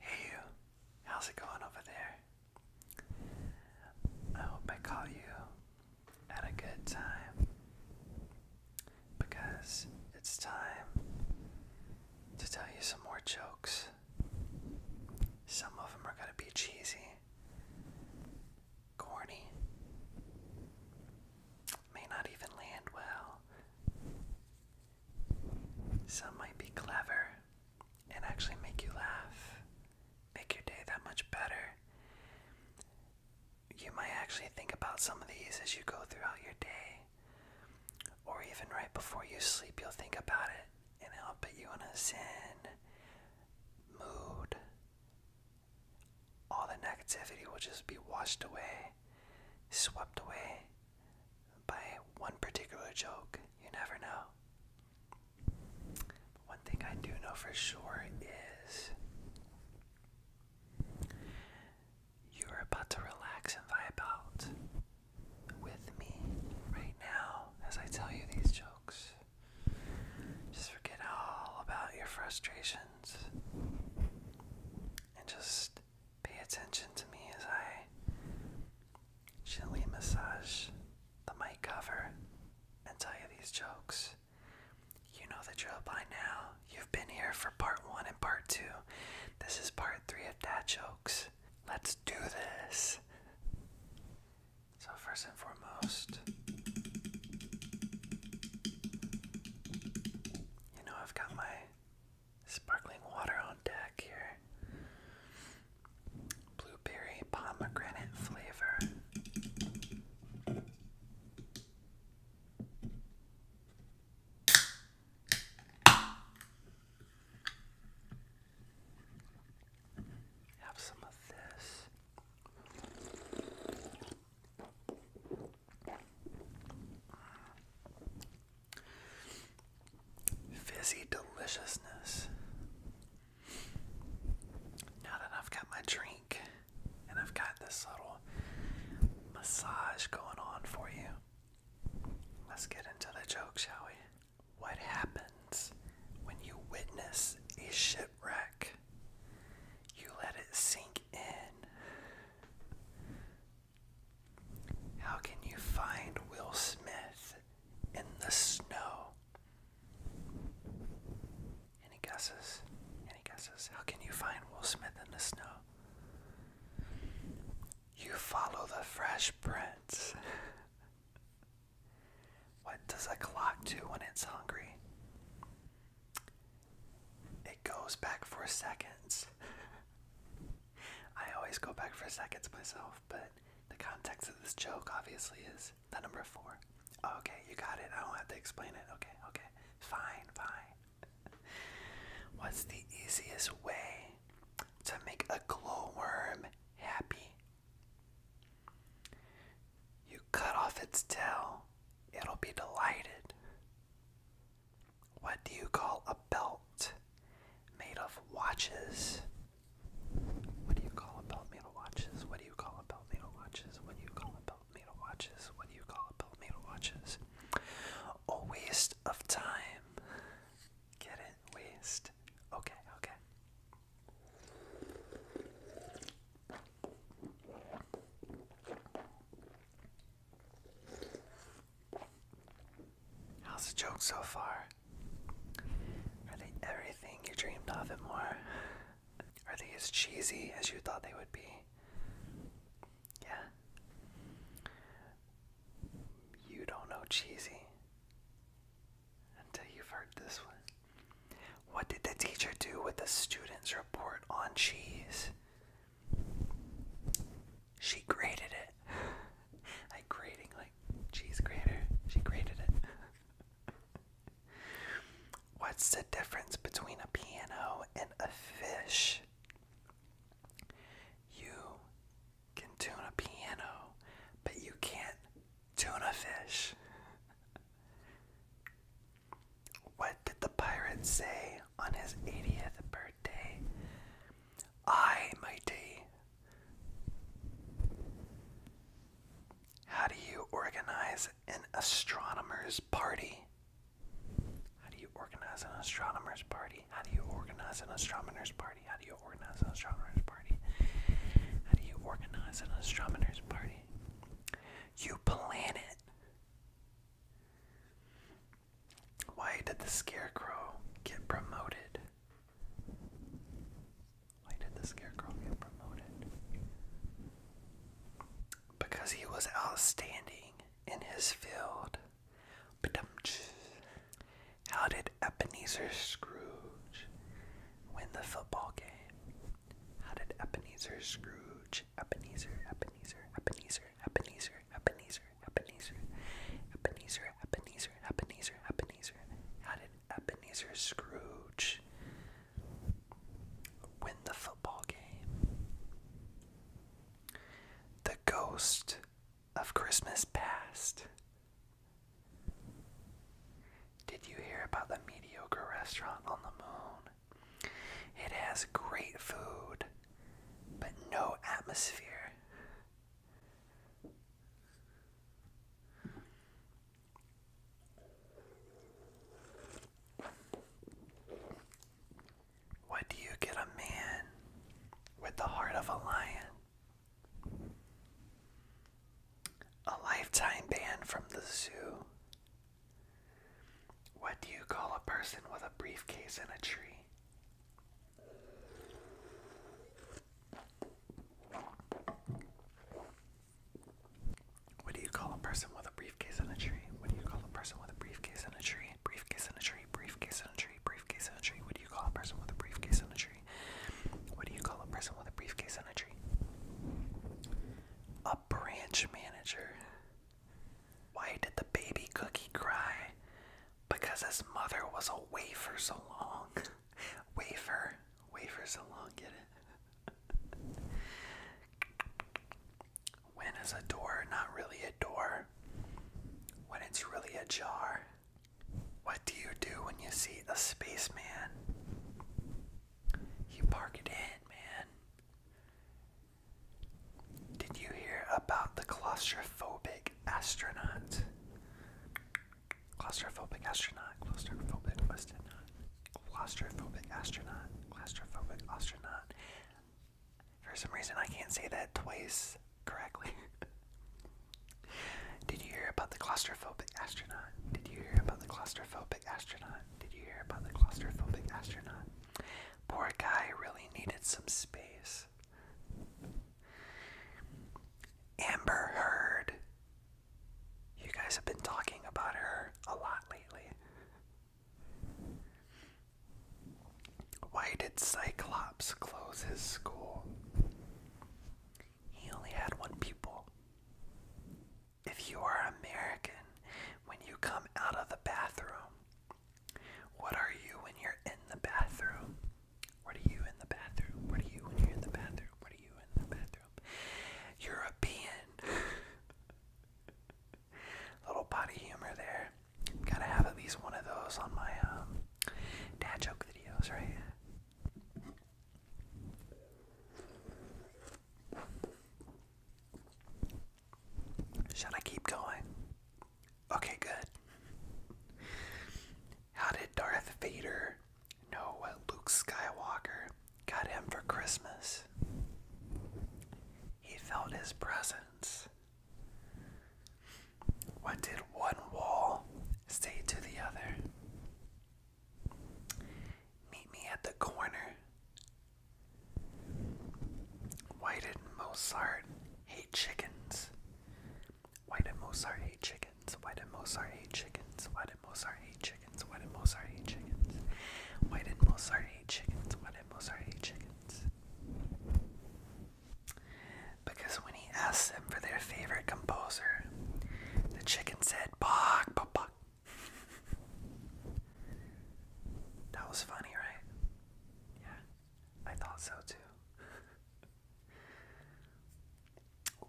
Hey you, how's it going over there? I hope I call you at a good time because it's time to tell you some more jokes. Some of them are going to be cheesy, corny, may not even land well, some might be clever and actually make you laugh, make your day that much better. You might actually think about some of these as you go throughout your day, or even right before you sleep, you'll think about it and it'll put you in a zen mood. All the negativity will just be washed away, swept away, by one particular joke. You never know. One thing I do know for sure is you're about to relax and vibe out with me right now as I tell you these jokes. Just forget all about your frustrations and just Pay attention to me as I gently massage the mic cover and tell you these jokes. You know the drill by now. You've been here for part one and part two. This is part three of dad jokes. Let's do this. So, first and foremost, you know, I've got my Sparkling water on deck here. Blueberry pomegranate flavor. Have some of this. Fizzy deliciousness. Now that I've got my drink and I've got this little massage going on for you, let's get into the joke, shall we? What happens when you witness a shipwreck? You let it sink in. How can you find Will Smith in the snow? Any guesses? Any guesses? How can you find Will Smith in the snow? You follow the fresh prints. what does a clock do when it's hungry? It goes back for seconds. I always go back for seconds myself, but the context of this joke obviously is the number four. okay, you got it. I don't have to explain it. Okay, okay. Fine, fine. What's the easiest way to make a glowworm happy? You cut off its tail, it'll be delighted. What do you call a belt made of watches? What do you call a belt made of watches? What do you call a belt made of watches? What do you call a belt made of watches? What do you call a belt made of watches? A waste of time. Get it? Waste. Okay, okay. How's the joke so far? Are they everything you dreamed of and more? Are they as cheesy as you thought they would be? Yeah. You don't know cheesy until you've heard this one. What did the teacher do with the student's report on cheese? She grated it. Like grading, like cheese grater. She graded it. What's the difference between a piano and a fish? You can tune a piano, but you can't tune a fish. What did the pirate say on his 80th birthday? I mighty. How do you organize an astronomer's party? How do you organize an astronomer's party? How do you organize an astronomer's party? How do you organize an astronomer's party? How do you organize an astronomer's party? You plan it. Why did the scarecrow get promoted? Why did the scarecrow get promoted? Because he was outstanding in his field. How did Ebenezer Scrooge win the football game? How did Ebenezer Scrooge much. Ebenezer, Ebenezer, Ebenezer, Ebenezer, Ebenezer, Ebenezer, Ebenezer, Ebenezer, Ebenezer, Ebenezer. How did Ebenezer Scrooge win the football game? The ghost of Christmas past. Did you hear about the mediocre restaurant on the moon? It has great food, but no atmosphere. What do you get a man with the heart of a lion? A lifetime ban from the zoo. What do you call a person with a briefcase in a tree? What do you call a person with a briefcase in a tree? What do you call a person with a briefcase in a tree? Briefcase in a tree, briefcase in a tree, briefcase in a tree. What do you call a person with a briefcase in a tree? What do you call a person with a briefcase in a tree? branch manager. Why did the baby cookie cry? Because his mother was away for so long. wafer, wafer so long, get it? when is a door not really a door? When it's really a jar? What do you do when you see a spaceman? You park it in, man. Did you hear about the claustrophobic astronaut? Claustrophobic astronaut, claustrophobic astronaut, claustrophobic astronaut, claustrophobic astronaut. For some reason, I can't say that twice correctly. Did you hear about the claustrophobic astronaut? Did you hear about the claustrophobic astronaut. Did you hear about the claustrophobic astronaut? Poor guy really needed some space. Amber Heard. You guys have been talking about her a lot lately. Why did Cyclops close his school? He only had one pupil if you are American, when you come out of the bathroom, what are you when you're in the bathroom? What are you in the bathroom? What are you when you're in the bathroom? What are you in the bathroom? European. Little potty humor there. Gotta have at least one of those on my um, dad joke videos, right? Should I keep going? Okay, good. How did Darth Vader know what Luke Skywalker got him for Christmas? He felt his presence. What did one wall say to the other? Meet me at the corner. Why did Mozart hate chickens? Why did Mozart hate chickens? Why did Mozart hate chickens? Why did Mozart hate chickens? Why did Mozart hate chickens? Why did Mozart hate chickens? Why did Mozart hate chickens? Because when he asked them for their favorite composer, the chicken said that was funny, right? Yeah, I thought so too.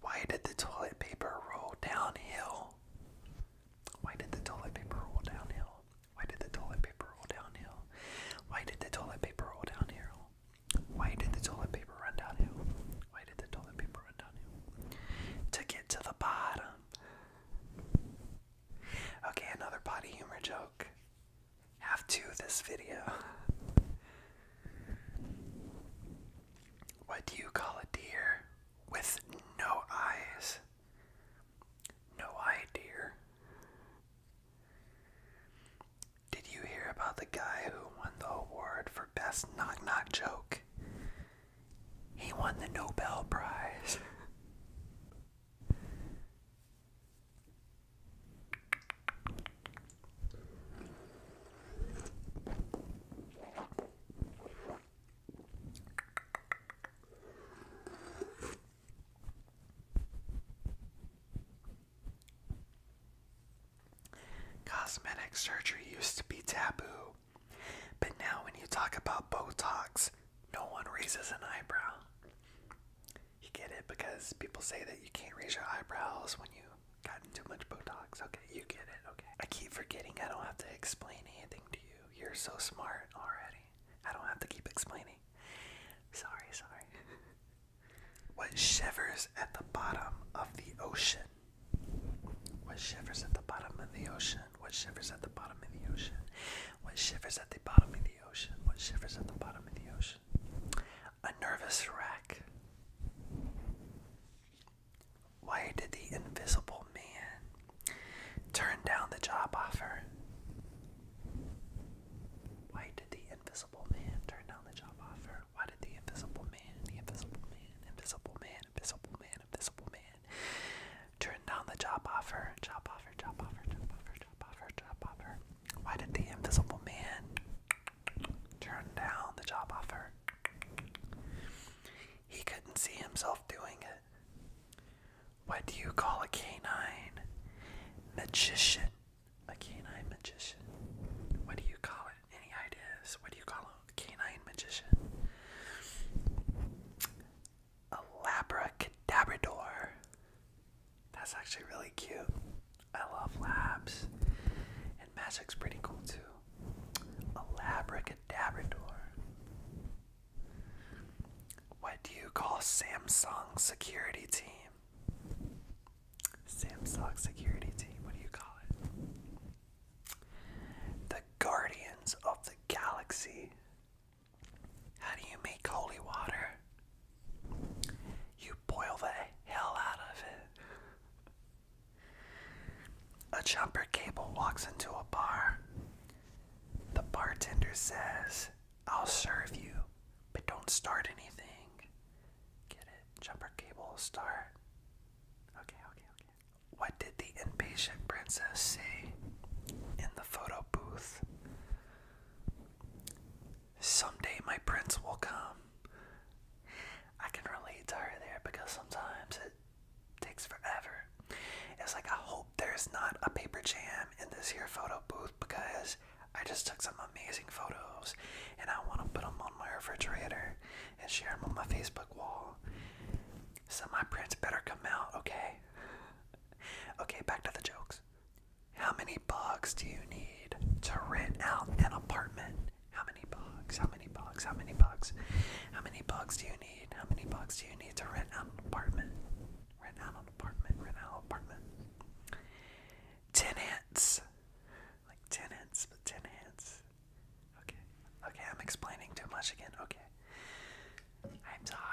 Why did the toilet paper roll downhill? Why did the toilet paper roll downhill? Why did the toilet paper roll downhill? Why did the toilet paper roll downhill? Why did the toilet paper run downhill? Why did the toilet paper run down here? To get to the bottom. Okay, another potty humor joke. Have two this video. What do you call a deer with no eyes? No eye deer. Did you hear about the guy who won the award Best Knock Knock Joke. He won the Nobel Prize. Cosmetic surgery used to be taboo, but now when you talk about Botox, no one raises an eyebrow. You get it because people say that you can't raise your eyebrows when you gotten too much Botox. Okay, you get it. Okay. I keep forgetting I don't have to explain anything to you. You're so smart already. I don't have to keep explaining. Sorry, sorry. What shivers at the bottom of the ocean? What shivers at the bottom of the ocean? What shivers at the bottom of the ocean? What shivers at the bottom of the ocean? What shivers at the bottom of the ocean? A nervous wreck. Why did the invisible man turn down the job offer? Why did the invisible man turn down the job offer? why did the Invisible Man, the Invisible Man, Invisible Man, Invisible Man, Invisible Man turn down the job offer? Job offer, job offer, job offer, job offer, job offer. Why did the Invisible Man turn down the job offer? He couldn't see himself doing it. What do you call a canine? Magician a canine magician. What do you call it? Any ideas? What do you call a canine magician? A labracadabrador. That's actually really cute. I love labs. And magic's pretty cool too. A labracadabrador. What do you call Samsung's security team? Samsung security team, what do you call it? The Guardians of the Galaxy. How do you make holy water? You boil the hell out of it. A jumper cable walks into a bar. The bartender says, I'll serve you, but don't start anything. Get it? Jumper cable star. Okay, okay, okay. What did the impatient princess say in the photo booth? Someday my prince will come. I can relate to her there because sometimes it takes forever. It's like I hope there's not a paper jam in this here photo booth because I just took some amazing photos and I want to put them on my refrigerator and share them on my Facebook wall. So my prints better come out, okay? okay, back to the jokes. How many bugs do you need to rent out an apartment? How many bugs? How many bugs? How many bugs? How many bugs do you need? How many bugs do you need to rent out an apartment? Rent out an apartment, rent out an apartment. Ten hands, Like ten ants, ten ants. Okay. Okay, I'm explaining too much again. Okay. I'm sorry.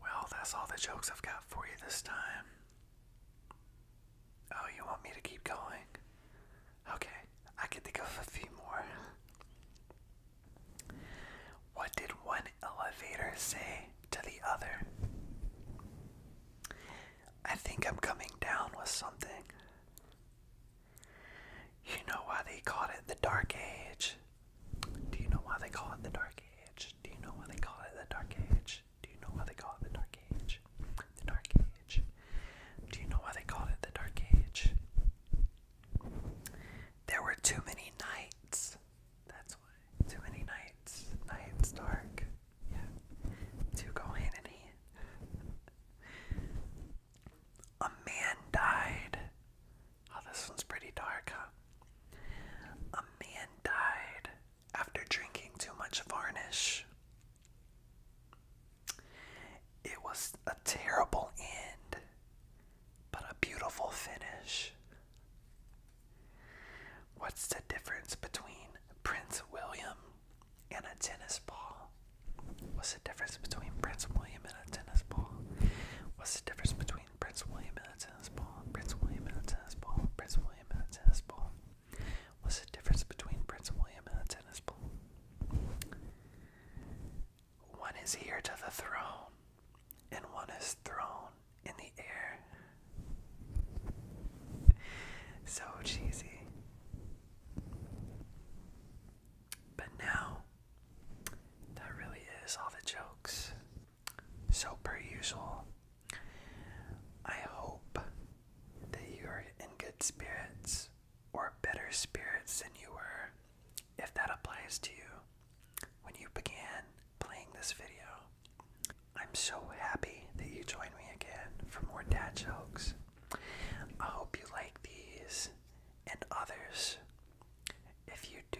Well, that's all the jokes I've got for you this time. Oh, you want me to keep going? Okay, I can think of a few more. What did one elevator say to the other? I think I'm coming down with something. You know why they called it the Dark Age? Do you know why they call it the Dark Age? Do you know why they call it the Dark Age? Do you know why they call it the Dark Age? The Dark Age. Do you know why they called it the Dark Age? There were too many nights. That's why. Too many nights. Nights dark. Yeah. Two go A man died Oh, this one's pretty dark, A man died after drinking too much varnish. It was a terrible end, but a beautiful finish. What's the difference between Prince William and a tennis ball? What's the difference between Prince William and a tennis ball? What's the difference between Prince William and a tennis ball, Prince William and a tennis ball, Prince William and a tennis ball. What's the difference between Prince William and a tennis ball? One is here to the throne, and one is thrown in the air. So cheesy. But now that really is all the jokes. So, per usual, I hope that you are in good spirits or better spirits than you were, if that applies to you, when you began playing this video. I'm so happy that you joined me again for more dad jokes. I hope you like these and others. If you do,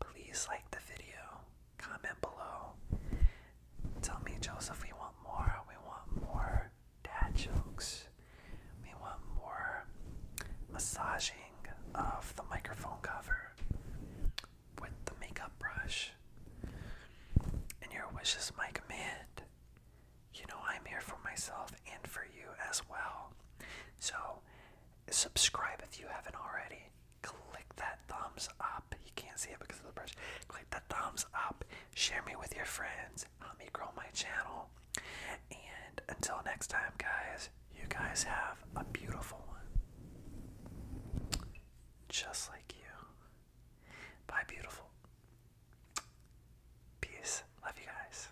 please like the video, comment below. Tell me, Joseph, we want more. We want more dad jokes. We want more massaging of the microphone cover with the makeup brush. And your wishes, my command. You know, I'm here for myself and for you as well. So, Subscribe if you haven't already. Click that thumbs up. You can't see it because of the brush. Click that thumbs up. Share me with your friends. Help me grow my channel. And until next time, guys, you guys have a beautiful one. Just like you. Bye, beautiful. Peace. Love you guys.